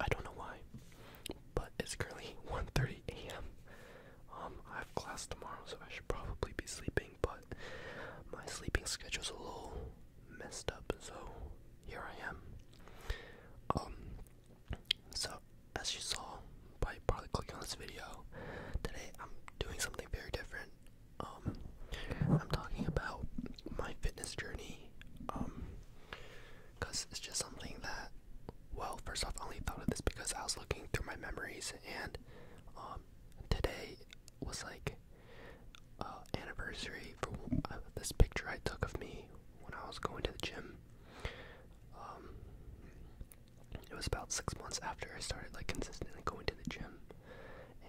I don't know why, but it's currently 1:30 a.m. Um, I have class tomorrow, so I should probably be sleeping. But my sleeping schedule's a little messed up, so here I am. Um, so as you saw by probably clicking on this video, today I'm doing something very different. Um, I'm talking about my fitness journey. Um, because it's just something that, well, first off, I only thought of this because I was looking through my memories, and um, today was like anniversary for uh, this picture I took of me when I was going to the gym. Um, it was about six months after I started like consistently going to the gym,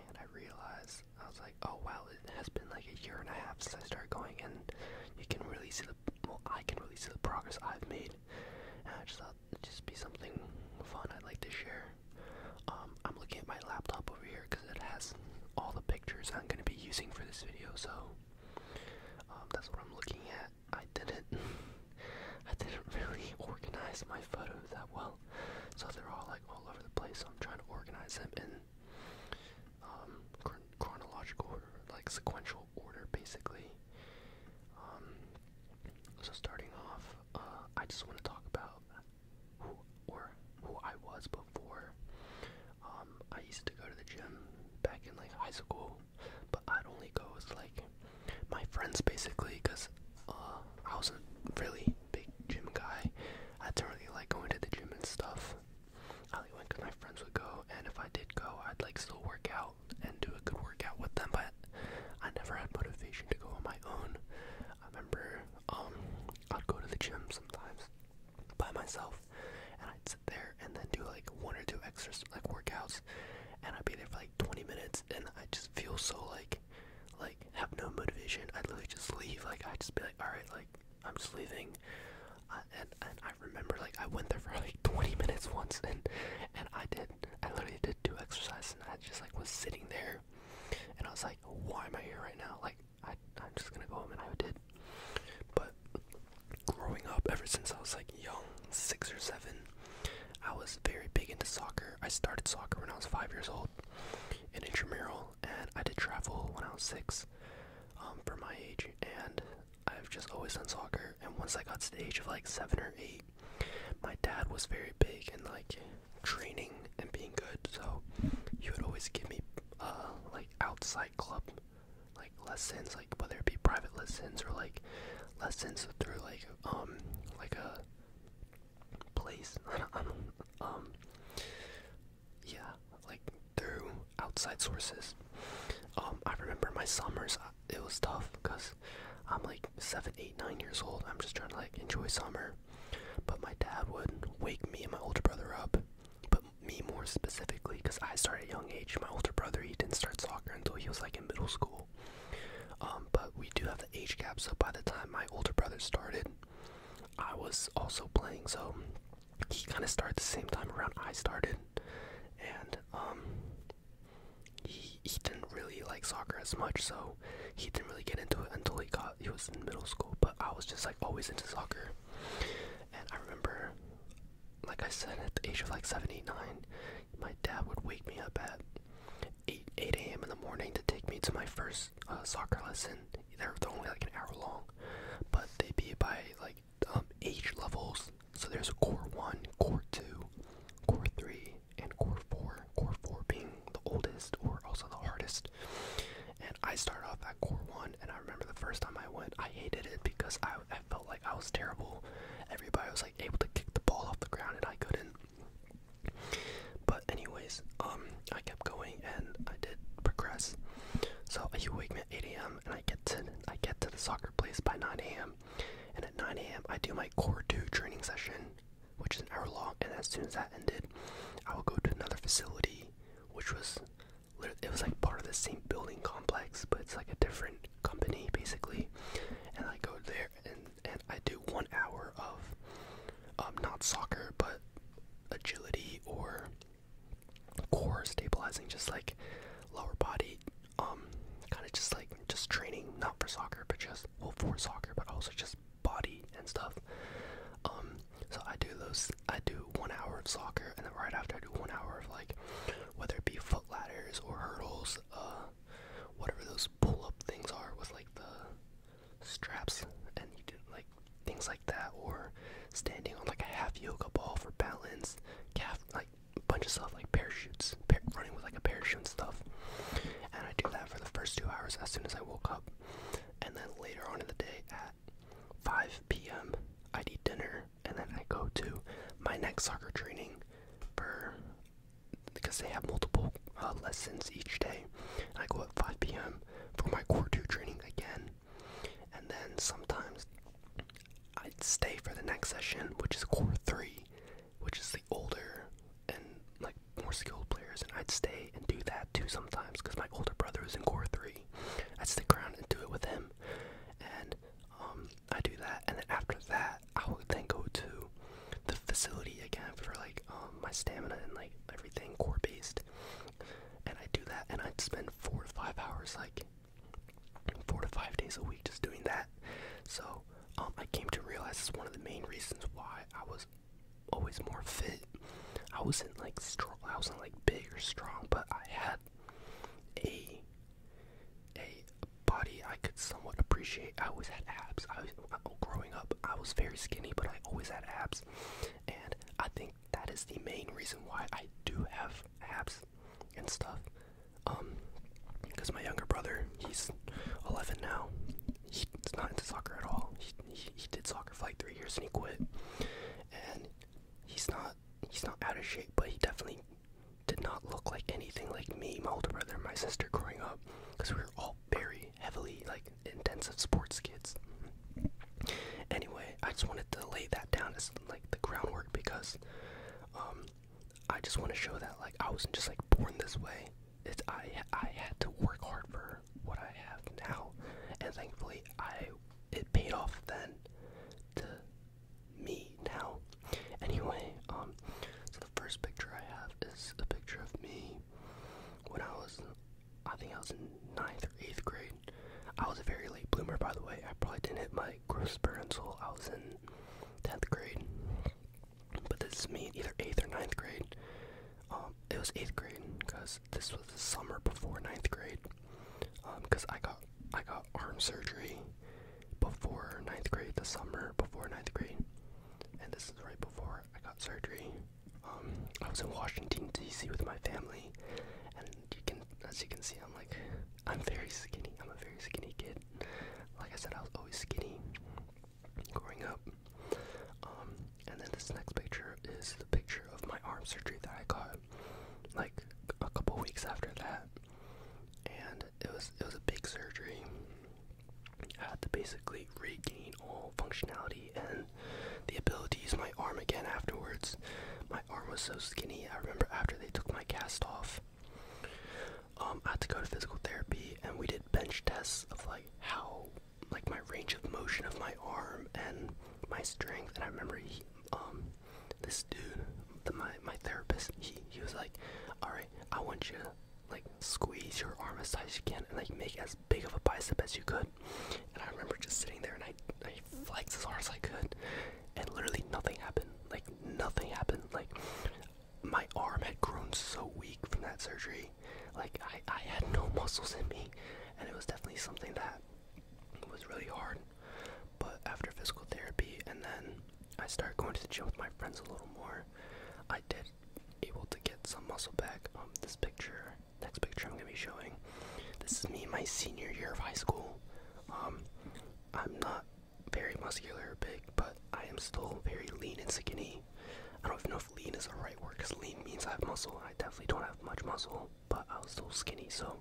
and I realized I was like oh wow, it has been like a year and a half since I started going, and you can really see the I can really see the progress I've made. And I just thought it'd just be something fun I'd like to share. Um, I'm looking at my laptop over here because it has all the pictures I'm gonna be using for this video, so um, that's what I'm looking at. I didn't, I didn't really organize my photos that well, so they're all like all over the place. So I'm trying to organize them in um, chronological like sequential order, basically. Um, so starting off, uh, I just want to talk about who or who I was before. Um, I used to go to the gym back in like high school, but I'd only go with like my friends basically, cause uh, I wasn't really big gym guy. I didn't really like going to the gym and stuff. Hollywood because my friends would go, and if I did go, I'd like still work out and do a good workout with them, but I never had motivation to go on my own. I remember um, I'd go to the gym sometimes by myself, and I'd sit there and then do like one or two extra like workouts, and I'd be there for like 20 minutes, and I just feel so like like have no motivation. I'd literally just leave. Like I'd just be like, all right, like I'm just leaving and and I remember like I went there for like 20 minutes once, and and I did I literally did do exercise, and I just like was sitting there, and I was like, why am I here right now? Like I I'm just gonna go home, and I did. But growing up, ever since I was like young, six or seven, I was very big into soccer. I started soccer when I was five years old, in intramural, and I did travel when I was six um, for my age, and I've just always done soccer. And once I got to the age of like seven or eight, my dad was very big in like training and being good, so he would always give me uh, like outside club like lessons, like whether it be private lessons or like lessons through like um like a place. I don't, I don't, um, um yeah, like through outside sources. Um, I remember my summers, uh, it was tough because I'm like seven, eight, nine years old. I'm just trying to like enjoy summer. But my dad would wake me and my older brother up, but me more specifically because I started young age. My older brother, he didn't start soccer until he was like in middle school. Um, but we do have the age gap, so by the time my older brother started, I was also playing. So he kind of started the same time around I started, and um, he he didn't really like soccer as much, so he didn't really get into it until he got he was in middle school. But I was just like always into soccer, and I remember, like I said, at the age of like seven, eight, nine, my dad would wake me up at 8 8 a.m. in the morning to take me to my first uh, soccer lesson, they're, they're only like an hour long, but they be by like um, age levels. So there's core one, core two, core three, and core four. Core four being the oldest or also the hardest. And I start off at core one, and I remember the first time I went, I hated it because I, I felt like I was terrible. Everybody was like able to kick the ball off the ground, and I couldn't. But anyways, um, I kept going and I did progress. So are you awake, man? 8 a.m. and I get to I get to the soccer place by 9 a.m. And at 9 a.m. I do my core two training session, which is an hour long. And as soon as that ended, I will go to another facility, which was it was like part of the same building complex, but it's like a different company basically. And I go there and and I do one hour of um, not soccer but agility or core stabilizing, just like lower body, um, kind of just like just training, not for soccer, but just well for soccer, but also just body and stuff. Um, so I do those. I do one hour of soccer, and then right after I do one hour of like whether it be foot ladders or hurdles, uh, whatever those pull up things are with like the straps, and you do like things like that, or standing on like a half yoga ball for balance, calf, like a bunch of stuff like parachutes, running with like a parachute and stuff. And I do that for the first two hours as soon as I woke up, and then later on in the day at 5 p.m. I eat dinner, and then I go to my next soccer training for because they have multiple uh, lessons each day. I go at 5 p.m. for my core two training again, and then sometimes I'd stay for the next session, which is core three, which is the older and like more skilled players, and I'd stay and do that too sometimes because my older brother was in core three. I'd stick around and do it with him, and um, I do that, and then after that, I would then go to the facility again for like um, my stamina and like everything core based, and I'd do that, and i spend four to five hours, like four to five days a week, just doing that. So um, I came to realize it's one of the main reasons why I was always more fit. I wasn't like strong, I wasn't like big or strong, but I had a a body I could somewhat appreciate. I always had abs. I was, uh, growing up, I was very skinny, but I always had abs, and I think that is the main reason why I do have apps and stuff. Um, because my younger brother, he's 11 now. He's not into soccer at all. He, he, did soccer for like three years and he quit. And he's not he's not out of shape, but he definitely did not look like anything like me, my older brother, my sister growing up, because we were all very heavily like intensive sports kids. Anyway, I just wanted to lay that down as like the groundwork because um I just want to show that like I wasn't just like born this way. It's I I had to work hard for what I have now, and thankfully I it paid off then to me now. Anyway, um, so the first picture I have is a picture of me when I was I think I was in ninth or eighth grade. I was a very late bloomer, by the way. I probably didn't hit my growth spurt until I was in tenth grade. But this is me, either eighth or ninth grade. Um, it was eighth grade because this was the summer before ninth grade. Because um, I got I got arm surgery before ninth grade, the summer before ninth grade, and this is right before I got surgery. Um, I was in Washington D.C. with my family, and you can, as you can see, I'm like, I'm very skinny. I'm a very skinny kid. Like I said, I was always skinny growing up. Um, and then this next picture is the picture of my arm surgery that I got, like a couple weeks after that. And it was it was a big surgery. I had to basically regain all functionality and the ability to my arm again afterwards. My arm was so skinny. I remember after they took my cast off, um, I had to go to physical therapy, and we did bench tests of like how, like my range of motion of my arm and my strength. And I remember he, um, this dude, the, my my therapist, he he was like, all right, I want you to like squeeze your arm as tight as you can and like make as big of a bicep as you could. And I remember just sitting there and I, I flexed as hard as I could, and literally nothing happened. Like, nothing happened. Like, my arm had grown so weak from that surgery. Like, I, I had no muscles in me, and it was definitely something that was really hard. But after physical therapy, and then I start going to the gym with my friends a little more, I did able to get some muscle back. Um, this picture next picture I'm gonna be showing. This is me my senior year of high school. Um, I'm not very muscular or big, but I am still very lean and skinny. I don't even know if lean is the right word because lean means I have muscle. and I definitely don't have much muscle, but I was still skinny, so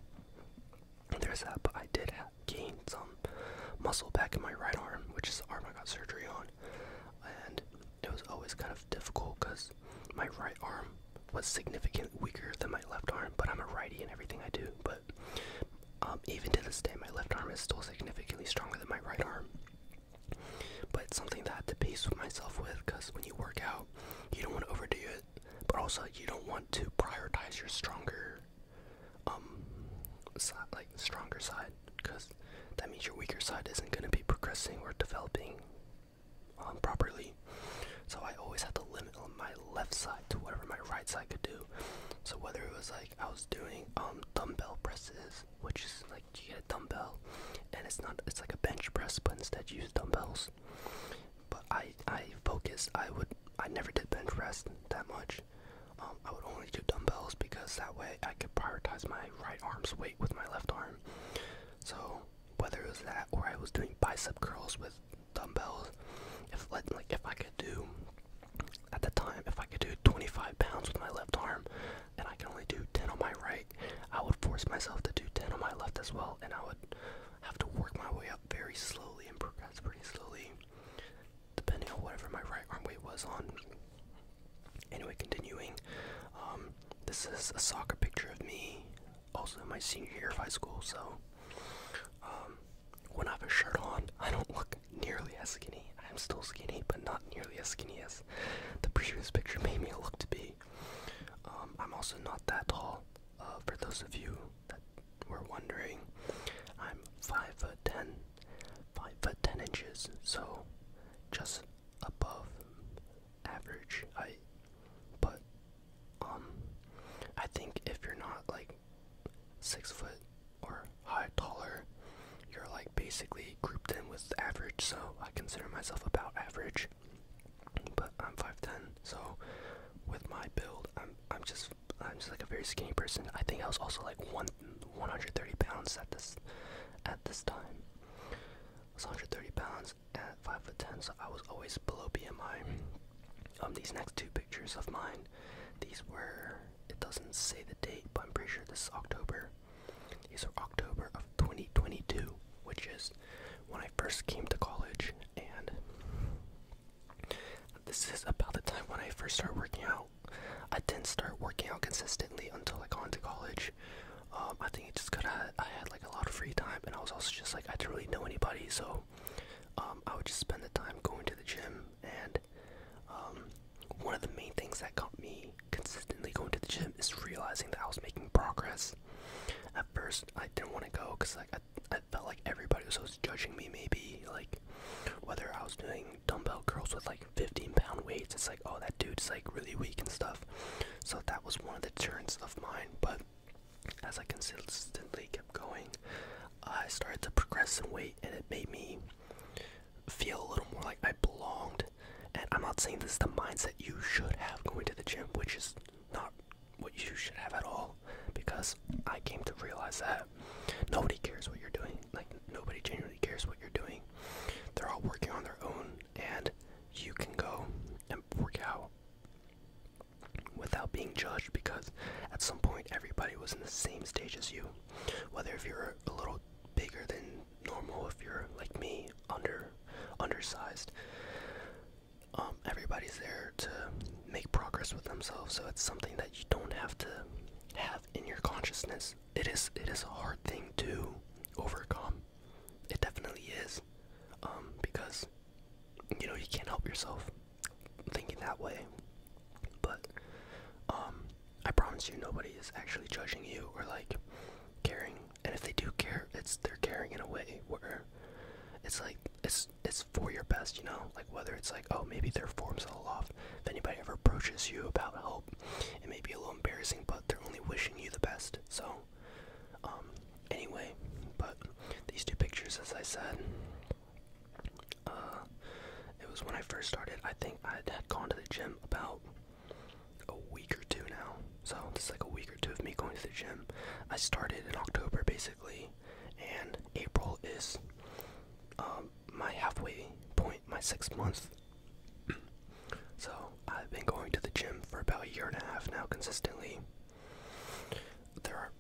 there's that. But I did gain some muscle back in my right arm, which is the arm I got surgery on, and it was always kind of difficult because my right arm was significantly weaker than my left arm, but I'm a righty in everything I do. But um, even to this day, my left arm is still significantly stronger than my right arm. But it's something that I had to pace myself with because when you work out, you don't want to overdo it, but also you don't want to prioritize your stronger, um, like stronger side, because that means your weaker side isn't going to be progressing or developing um, properly. So I always had to limit on my left side to whatever my right side could do. So whether it was like I was doing um dumbbell presses, which is like you get a dumbbell and it's not it's like a bench press but instead you use dumbbells. But I I focused I would I never did bench press that much. Um, I would only do dumbbells because that way I could prioritize my right arm's weight with my left arm. So whether it was that or I was doing bicep curls with dumbbells, if like, if I could do at the time, if I could do 25 pounds with my left arm and I can only do 10 on my right, I would force myself to do 10 on my left as well, and I would have to work my way up very slowly and progress pretty slowly, depending on whatever my right arm weight was on. Anyway, continuing, um, this is a soccer picture of me also my senior year of high school, so um, when I have a shirt on, I don't look nearly as skinny. I'm still skinny, but not nearly as skinny as the previous picture made me look to be. Um, I'm also not that tall. Uh, for those of you that were wondering, I'm five foot ten, five foot ten inches, so just above average height, but um, I think if you're not like six foot or high taller, you're like basically grouped in with average. So I consider myself about average, but I'm five ten. So with my build, I'm I'm just I'm just like a very skinny person. I think I was also like one 130 pounds at this at this time. was 130 pounds at five foot ten, so I was always below BMI. Um, these next two pictures of mine, these were. It doesn't say the date, but I'm pretty sure this is October. These are October of 2022, which is when I first came to college, and this is about the time when I first started working out. I didn't start working out consistently until I got into college. Um, I think recently I, had like a lot of free time and I was also just like I didn't really know anybody so um, I would just spend the time going to the gym and um, one of the main things that got me consistently going to the gym is realizing that I was making progress. At first I didn't want to go because like I felt like everybody was always judging me maybe like whether I was doing dumbbell curls with like 15 pound weights it's like oh that dude's like really weak and stuff so that was one of the turns of mine but as I consistently kept going, I started to progress in weight, and it made me feel a little more like I belonged. And I'm not saying this is the mindset you should have going to the gym, which is not what you should have at all, because I came to realize that nobody cares what you're doing. Like, nobody genuinely cares what you're doing. They're all working on their own, and you can go and work out without being judged because at some point everybody was in the same stage as you. Whether if you're a little bigger than normal, if you're like me, under undersized, um, everybody's there to make progress with themselves. So it's something that you don't have to have in your consciousness. It is it is a hard thing to overcome. It definitely is. Um, because you know you can't help yourself thinking that way. But um, I promise you nobody is actually judging you or like caring. And if they do care, it's they're caring in a way where it's like it's it's for your best, you know? Like whether it's like, oh maybe their form's a little off. If anybody ever approaches you about help, it may be a little embarrassing, but they're only wishing you the best. So um, anyway, but these two pictures, as I said, uh, it was when I first started. I think I had gone to the gym about a week or two now. So it's like a week or two of me going to the gym. I started in October basically, and April is um, my halfway point, my six month. so I've been going to the gym for about a year and a half now consistently. There are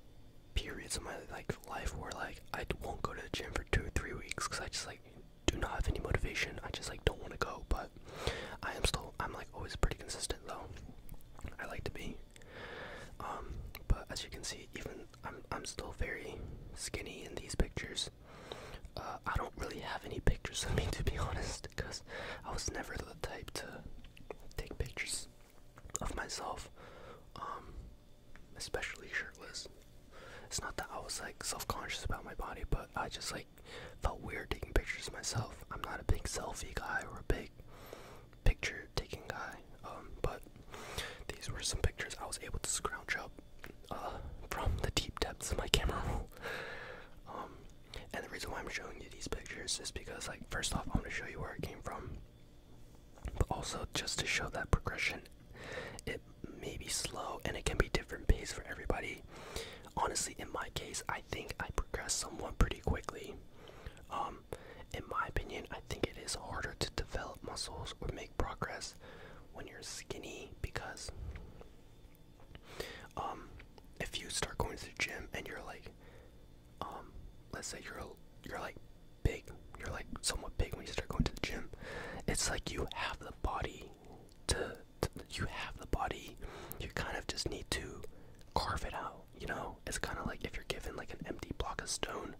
periods of my like life where like I won't go to the gym for two or three weeks because I just like do not have any motivation. I just like don't want to go, but I am still I'm like always pretty consistent though. I like to be. Um, but as you can see, even I'm I'm still very skinny in these pictures. Uh, I don't really have any pictures of me to be honest, because I was never the type to take pictures of myself, um, especially shirtless. It's not that I was like self-conscious about my body, but I just like felt weird taking pictures of myself. I'm not a big selfie guy or a big picture taking guy, um, but these were some pictures I was able to scrounge up uh, from the deep depths of my camera roll. Um, and the reason why I'm showing you these pictures is because, like, first off, I want to show you where it came from, but also just to show that progression. It may be slow and it can be different pace for everybody. Honestly, in my case, I think I progress somewhat pretty quickly. Um, in my opinion, I think it is harder to develop muscles or make progress when you're skinny because um, if you start going to the gym and you're like um let's say you're you're like big you're like somewhat big when you start going to the gym it's like you have the body to you have the body you kind of just need to carve it out you know it's kind of like if you're given like an empty block of stone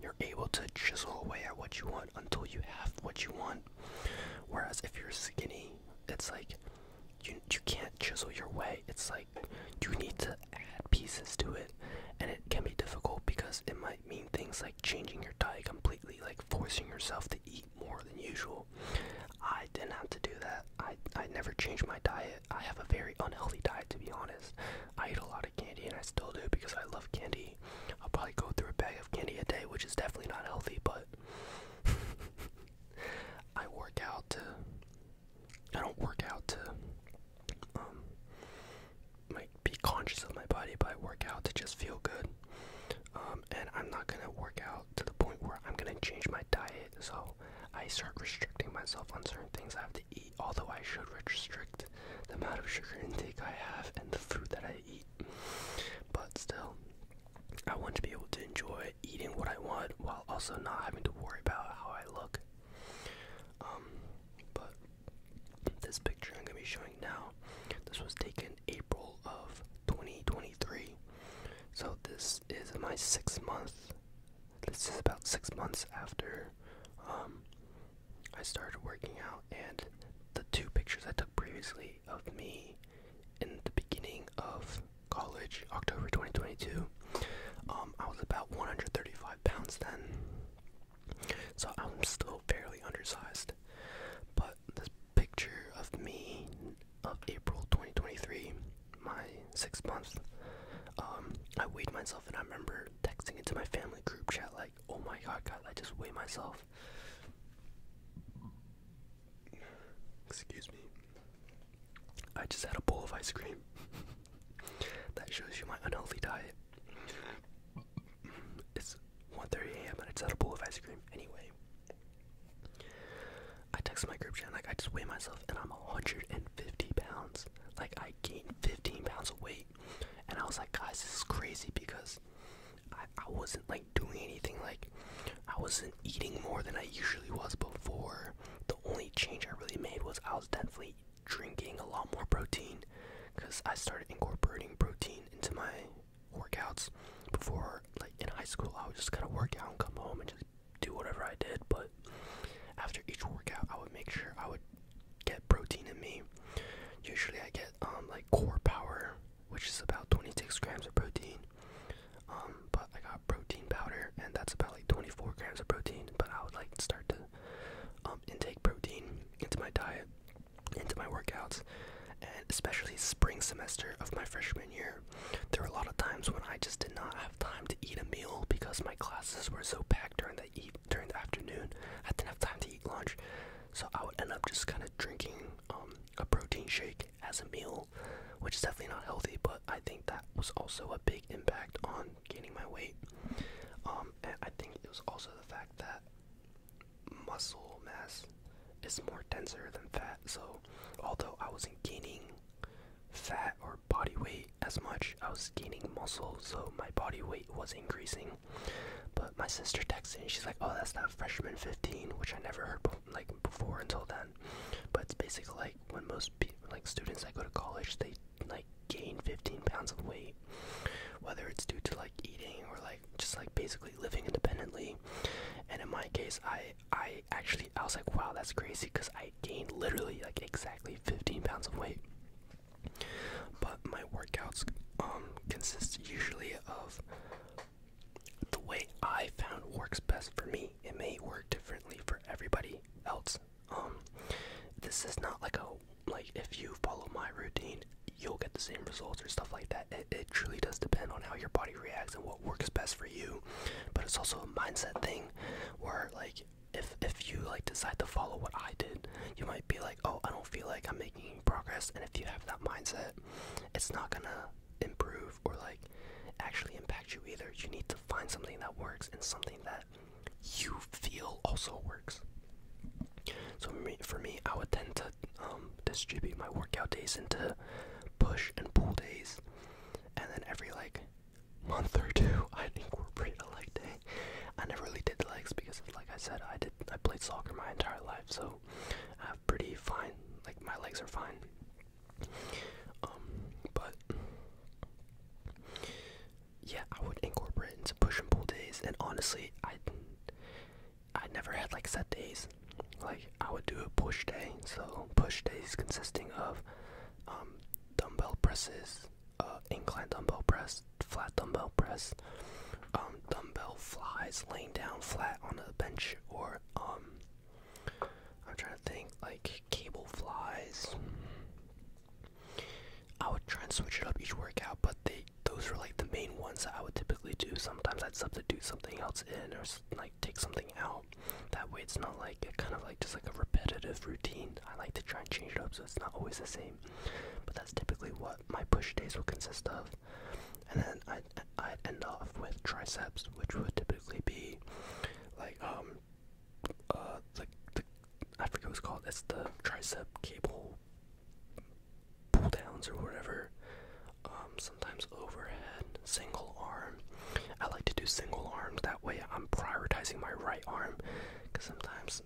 you're able to chisel away at what you want until you have what you want whereas if you're skinny it's like you you can't chisel your way. It's like you need to add pieces to it, and it can be difficult because it might mean things like changing your diet completely, like forcing yourself to eat more than usual. I didn't have to do that. I I never changed my diet. I have a very unhealthy diet to be honest. I eat a lot of candy and I still do because I love candy. I'll probably go through a bag of candy a day, which is definitely not healthy, but I work out I don't work out to um, like be conscious of my body, but I work out to just feel good. Um, and I'm not gonna work out to the point where I'm gonna change my diet, so I start restricting myself on certain things I have to eat. Although I should restrict the amount of sugar intake I have and the food that I eat, but still, I want to be able to enjoy eating what I want while also not having to worry about how I look. Um, but this picture I'm gonna be showing now, this was taken April of 2023. So this is my sixth month. This is about six months after um, I started working out, and the two pictures I took previously of me in the beginning of college, October 2022. Um, I was about 135 pounds then, so I'm still fairly undersized. But this picture of me of April 2023, my six months. Um, I weighed myself and I remember texting into my family group chat like, "Oh my god, God, I just weighed myself." Excuse me. I just had a bowl of ice cream. that shows you my unhealthy diet. It's 1:30 a.m. and I just had a bowl of ice cream. Anyway, I text my group chat like I just weigh myself and I'm 150 pounds. Like I gained 15 pounds of weight, and I was like, guys, this is crazy because I wasn't like doing anything like I wasn't eating more than I usually was before. The only change I really made was I was definitely drinking a lot more protein because I started incorporating protein into my workouts. Before, like in high school, I would just kind of work out and come home and just do whatever I did. But after each workout, I would make sure I would get protein in me. Usually, I get um like core power, which is about 26 grams of protein, um, but I got protein powder, and that's about like 24 grams of protein. But I would like start to um, intake protein into my diet, into my workouts, and especially spring semester of my freshman year. There were a lot of times when I just did not have time to eat a meal because my classes were so packed during the eat during the afternoon. I didn't have time to eat lunch, so I would end up just kind of drinking um, a protein shake as a meal, which is definitely not healthy, but I think that was also a big impact on gaining my weight. Um, and I think it was also the fact that muscle mass is more denser than fat, so although I wasn't gaining fat or body weight as much, I was gaining muscle, so my body weight was increasing. But my sister texts and she's like, "Oh, that's not freshman 15," which I never heard like before until then. But it's basically like when most like students that go to college, they like gain 15 pounds of weight, whether it's due to like eating or like just like basically living independently. And in my case, I I actually I was like, wow, that's crazy, because I gained literally like exactly 15 pounds of weight. But my workouts um consist usually of the way I found works best for me it may work differently for everybody else. Um, this is not like a like if you follow my routine, you'll get the same results or stuff like that. It it truly does depend on how your body reacts and what works best for you. But it's also a mindset thing, where like if if you like decide to follow what I did, you might be like, oh, I don't feel like I'm making progress. And if you have that mindset, it's not gonna improve or like actually impact you either. You need to find something that works and something that you feel also works. So me, for me, I would tend to um, distribute my workout days into push and pull days, and then every like month or two, think I'd incorporate a leg day. I never really did legs because, like I said, I did I played soccer my entire life, so I am pretty fine like my legs are fine. Um, but yeah, I would incorporate into push and pull days, and honestly, I I never had like set days. Like I would do a push day, so push days consisting of um, dumbbell presses, uh, incline dumbbell press, flat dumbbell press, um, dumbbell flies, laying down flat on a bench or um, I'm trying to think like cable flies. I would try and switch it up each workout, but they those were like the main ones that I would typically do. Sometimes I'd substitute something else in or like take something out. That way it's not like kind of like just like a repetitive routine. I like to try and change it up so it's not always the same. But that's typically what my push days will consist of. And then i i end off with triceps, which would typically be like um uh like the, I forget what it's called. It's the tricep cable pull downs or whatever. Um, sometimes overhead, single arm. I like to do single arms. That way, I'm prioritizing my right arm. Cause sometimes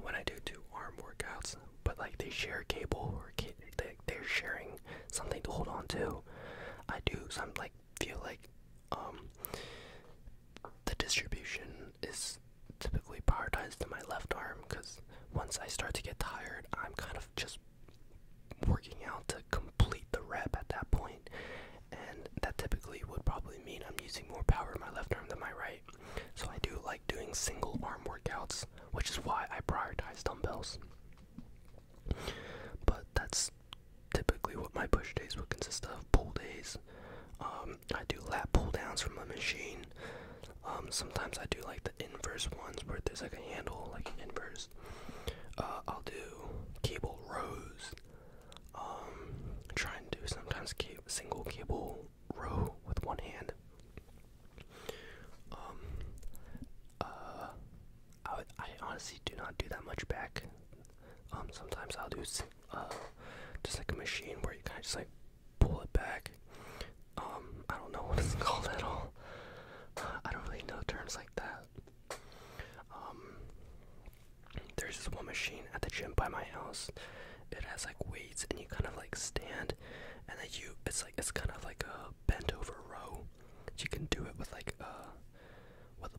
when I do two arm workouts, but like they share cable or they they're sharing something to hold on to. I do some like feel like um, the distribution is typically prioritized to my left arm because once I start to get tired, I'm kind of just working out to complete the rep at that point, and that typically would probably mean I'm using more power in my left arm than my right. So I do like doing single arm workouts, which is why I prioritize dumbbells. But that's typically what my push days would consist of. Pull days. Um, I do lat pull downs from a machine. Um, sometimes I do like the inverse ones where there's like a handle, like an inverse. Uh, I'll do cable rows. Um, try and do sometimes single cable row with one hand. Um, uh, I, honestly do not do that much back. Um, sometimes I'll do uh, just like a machine where you kind of just like pull it back. Um, I don't know what it's called at all. I don't really know terms like that. Um, there's this one machine at the gym by my house. It has like weights, and you kind of like stand, and then you it's like it's kind of like a bent over row. You can do it with like a. Uh, with a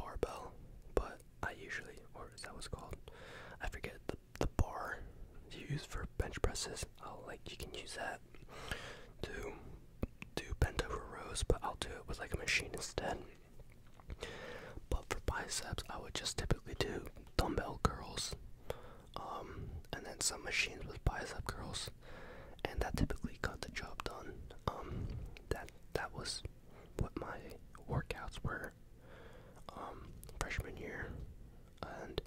barbell, but I usually, or is that what's called? I forget the the bar you use for bench presses. I'll like you can use that to do bent over rows, but I'll do it with like a machine instead. But for biceps, I would just typically do dumbbell curls, um, and then some machines with bicep curls and that typically got the job done. Um, that that was what my workouts were um, freshman year, and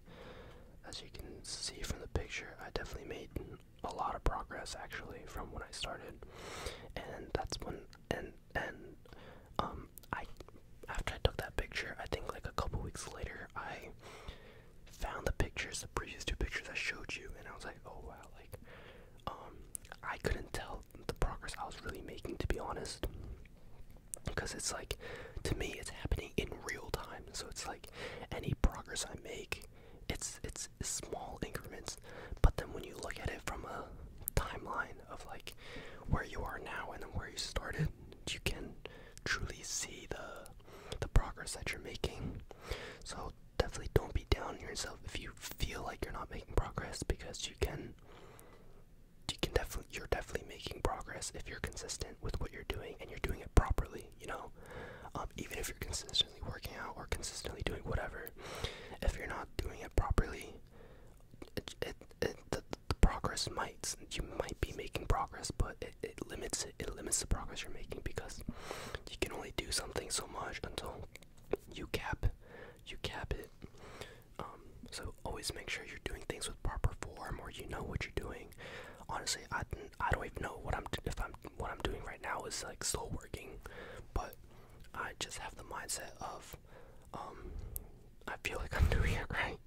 as you can see from the picture, I definitely made a lot of progress actually from when I started, and that's when and and um, I after I took that picture, I think like a couple weeks later I found the pictures, the previous two pictures I showed you, and I was like, oh wow, like um I couldn't tell the progress I was really making to be honest because it's like to me it's happening in real time so it's like any progress I make it's it's small increments but then when you look at it from a timeline of like where you are now and then where you started you can truly see the the progress that you're making so definitely don't be down on yourself if you feel like you're not making progress because you can you can definitely you're definitely making progress if you're consistent with what you're doing and you're doing it properly you know um, even if you're consistently working out or consistently doing whatever if you're not doing it properly it, it, the, the progress might you might be making progress but it, it limits it, it limits the progress you're making because you can only do something so so much until you cap you cap it. Um, so always make sure you're doing things with proper form or you know what you're doing. Honestly, I I don't even know what I'm if I'm what I'm doing right now is like still working, but I just have the mindset of um, I feel like I'm doing it right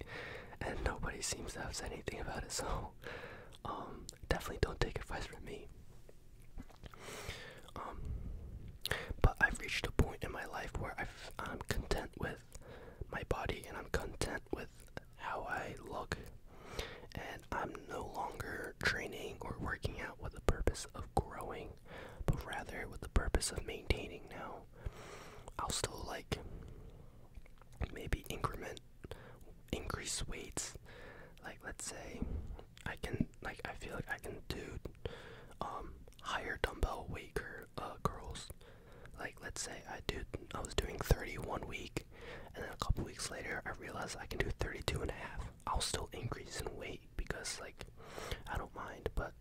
and nobody seems to have said anything about it so um, definitely don't take advice from me um, but I've reached a point in my life where I'm content with my body and I'm content with how I look, and I'm no longer training or working out with the purpose of growing, but rather with the purpose of maintaining now. I'll still like maybe increment increase weights. Like let's say I can like I feel like I can do um higher dumbbell weight cur uh, curls. Like let's say I do I was doing 30 one week and then a couple weeks later I realized I can do 32 and a half. I'll still increase in weight because like I don't mind, but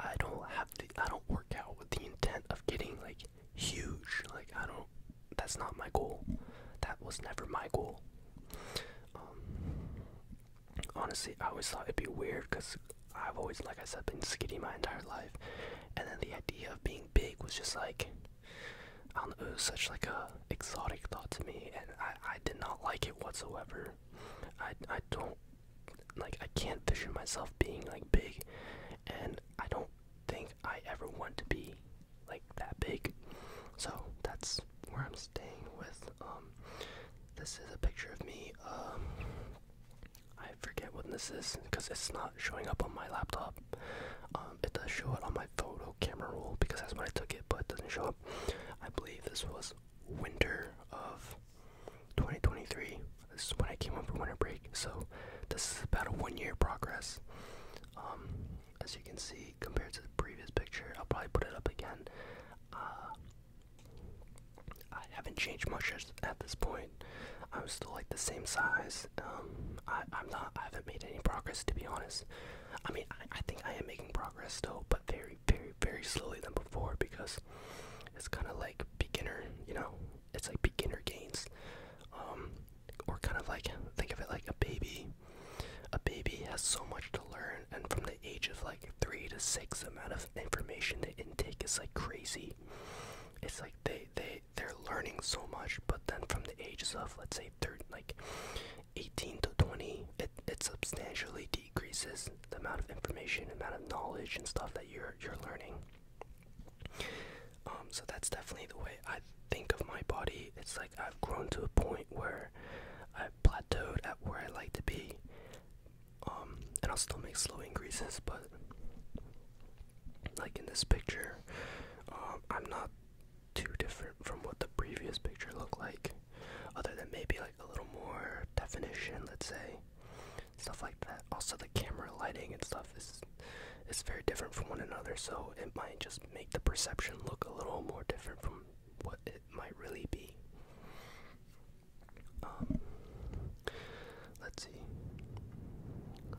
I don't have the I don't work out with the intent of getting like huge. Like I don't that's not my goal. That was never my goal. Um, honestly, I always thought it'd be weird because I've always, like I said, been skinny my entire life, and then the idea of being big was just like I don't know. It was such like a exotic thought to me, and I I did not like it whatsoever. I I don't like I can't envision myself being like big, and I don't think I ever want to be like that big. So that's where I'm staying with. Um, this is a picture of me. Um, I forget what this is because it's not showing up on my laptop. Um, it does show it on my photo camera roll because that's when I took it, but it doesn't show up. I believe this was winter of 2023. This is when I came home for winter break, so this is about a one year progress. Um, as you can see, compared to the previous picture. I'll probably put it up again. Uh, I haven't changed much at this point. I'm still like the same size. Um, I, am not. I haven't made any progress to be honest. I mean, I, think I am making progress still, but very, very, very slowly than before because it's kind of like beginner. You know, it's like beginner gains. Um, or kind of like think of it like a baby. A baby has so much to learn, and from the age of like three to six, amount of information they intake is like crazy. It's like they they they're learning so much, but then from the ages of let's say third like eighteen to twenty, it it substantially decreases the amount of information, amount of knowledge and stuff that you're you're learning. Um, so that's definitely the way I think of my body, it's like I've grown to a point where I've plateaued at where I like to be. Um, and I'll still make slow increases, but like in this picture, um, I'm not too different from what the previous picture looked like, other than maybe like a little more definition, let's say, stuff like that. Also, the camera lighting and stuff is is very different from one another, so it might just make the perception look a little more different from what it might really be. Um, let's see.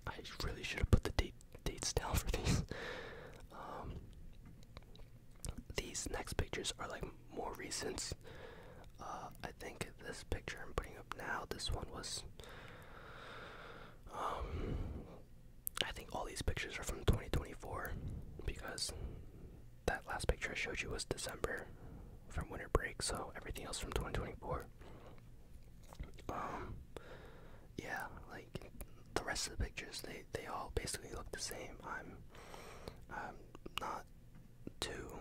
I really should have put the date dates down for these. Um, these next pictures are like more recent. Uh, I think this picture I'm putting up now. This one was um, I think all these pictures are from 2024 because that last picture I showed you was December from winter break, so everything else from 2024. Um, yeah, like the rest of the pictures, they they all basically look the same. I'm I'm not too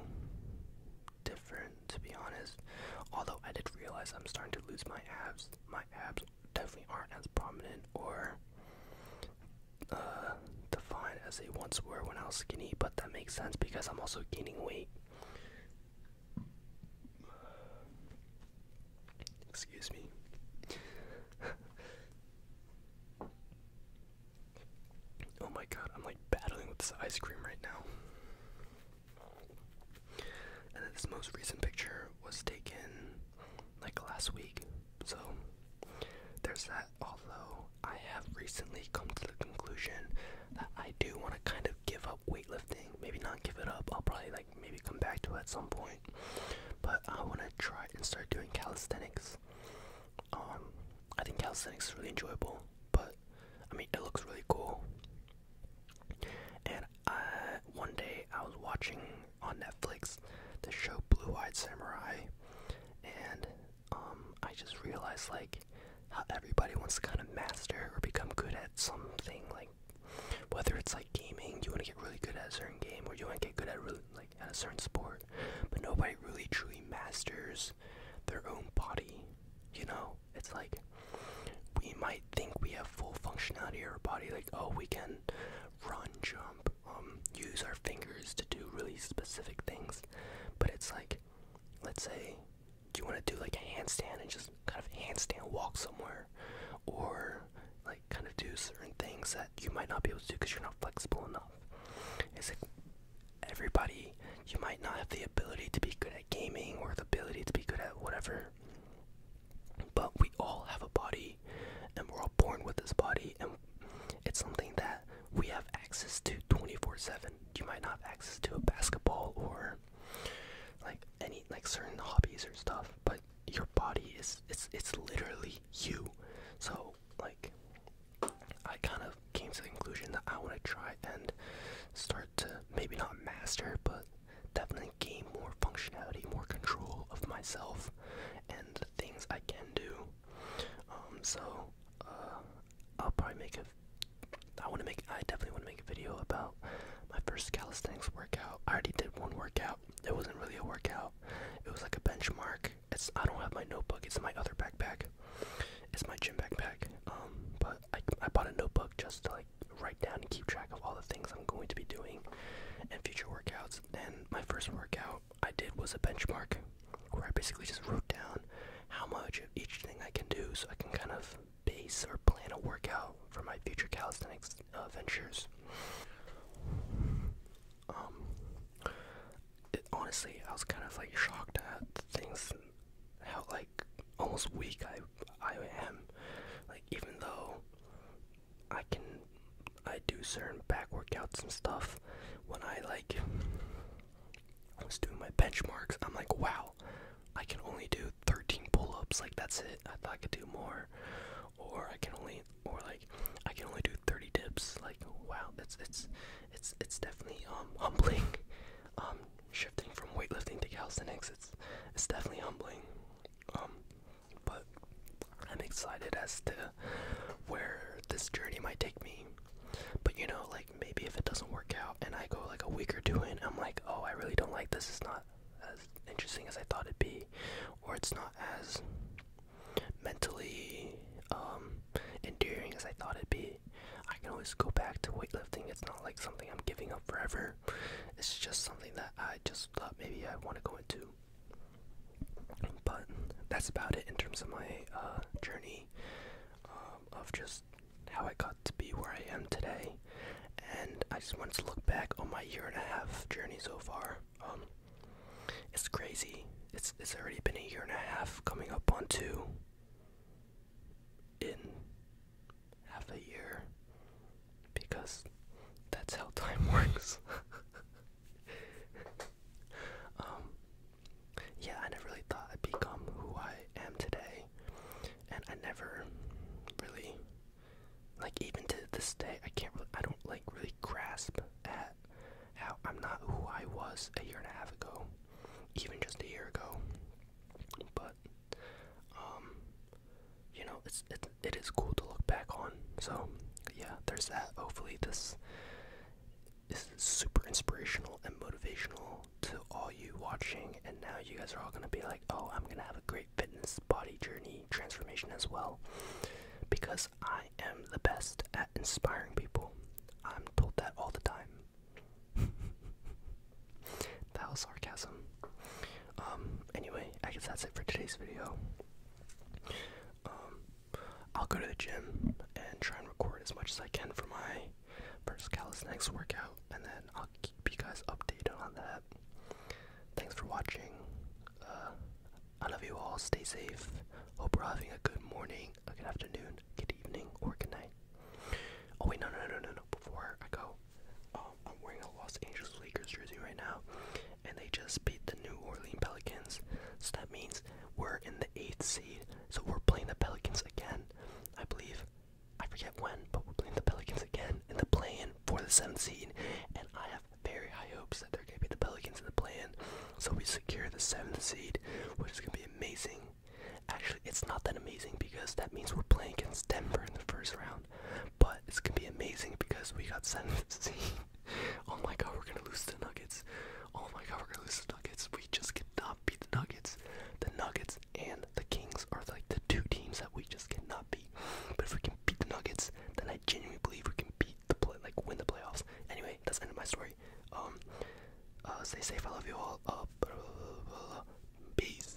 different to be honest. Although I did realize I'm starting to lose my abs. My abs definitely aren't as prominent or uh, defined as they once were when I was skinny, but that makes sense because I'm also gaining weight. Excuse me. oh my god, I'm like battling with this ice cream right now. And this most recent picture was taken like last week. So there's that. Although I have recently come to the conclusion that I do want to kind of give up weightlifting. Maybe not give it up. I'll probably like maybe come back to it at some point. But I want to try and start doing calisthenics. Um, I think calisthenics is really enjoyable. But I mean, it looks really cool. And one day I was watching on Netflix, the show Blue Eyed Samurai, and um, I just realized like how everybody wants to kind of master or become good at something, like whether it's like gaming, you want to get really good at a certain game, or you want to get good at really, like at a certain sport, but nobody really truly masters their own body. You know, it's like we might think we have full functionality of our body, like oh we can run, jump, um, use our fingers to do really specific things. But it's like, let's say you want to do like a handstand and just kind of handstand walk somewhere, or like kind of do certain things that you might not be able to do because you're not flexible enough. It's like everybody, you might not have the ability to be good at gaming or the ability to be good at whatever, but we all have a body and we're all born with this body and it's something that we have access to 24-7 you might not have access to a basketball or like any like certain hobbies or stuff but your body is it's it's literally you so like i kind of came to the conclusion that i want to try and start to maybe not master but definitely gain more functionality, more control of myself and the things I can do. Um, so uh, I'll probably make a. I want to make. I definitely want to make a video about my first calisthenics workout. I already did one workout. It wasn't really a workout. It was like a benchmark. It's. I don't have my notebook. It's in my other backpack. It's my gym backpack. Um, but I I bought a notebook just to like write down and keep track of all the things I'm going to be doing in future workouts. And my first workout I did was a benchmark where I basically just wrote down how much of each thing I can do so I can kind of base or plan a workout for my future calisthenics adventures. Uh, um, honestly, I was kind of like shocked at the things, how like almost weak I I am. Like even though I can I do certain back workouts and stuff when I like I was doing my benchmarks I'm like wow I can only do 13 pull-ups like that's it I thought I could do more or I can only or like I can only do 30 dips like wow that's it's it's it's definitely um humbling um shifting from weightlifting to calisthenics it's it's definitely humbling um, but I'm excited as to where this journey might take me. But you know, like maybe if it doesn't work out and I go like a week or two in, I'm like, oh, I really don't like this. It's not as interesting as I thought it'd be, or it's not as mentally um, endearing as I thought it'd be. I can always go back to weightlifting. It's not like something I'm giving up forever. It's just something that I just that maybe I want to go into. But that's about it in terms of my uh, journey um, of just how I got to be where I am today. And I just wanted to look back on my year and a half journey so far. Um, it's crazy. It's it's already been a year and a half coming up on two in half a year because that's how time works. um, yeah, I never really thought I'd become who I am today, and I never really like even to this day I can't really, I don't like really grasp at how I'm not who I was a year and a half ago, even just a year ago. But um, you know, it's it, it is cool to look back on. So yeah, there's that. Hopefully this is super inspirational and motivational to all you watching and now you guys are all gonna be like, oh, I'm gonna have a great fitness body journey transformation as well. Because I am the best at inspiring people. I'm told that all the time. that was sarcasm. Um, anyway, I guess that's it for today's video. Um, I'll go to the gym and try and record as much as I can for my first calisthenics workout, and then I'll keep you guys updated on that. Thanks for watching. Uh, I love you all. Stay safe. Hope you are having a good morning, a good afternoon, good evening, or good night. Oh wait, no, no, no, no, no. Before I go, um, I'm wearing a Los Angeles Lakers jersey right now, and they just beat the New Orleans Pelicans. So that means we're in the eighth seed. So we're playing the Pelicans again, I believe. I forget when, but we're playing the Pelicans again in the play-in for the seventh seed, and I have very high hopes that they're gonna beat the Pelicans in the play So we secure the seventh seed, which is gonna be amazing. Actually, it's not that amazing because that means we're playing against Denver in the first round. But it's gonna be amazing because we got sent to see. oh my god, we're gonna lose the Nuggets. Oh my god, we're gonna lose the Nuggets. We just cannot beat the Nuggets. The Nuggets and the Kings are like the two teams that we just cannot beat. But if we can beat the Nuggets, then I genuinely believe we can beat the play, like win the playoffs. Anyway, that's the end of my story. Um, uh, stay safe. I love you all. Uh, peace.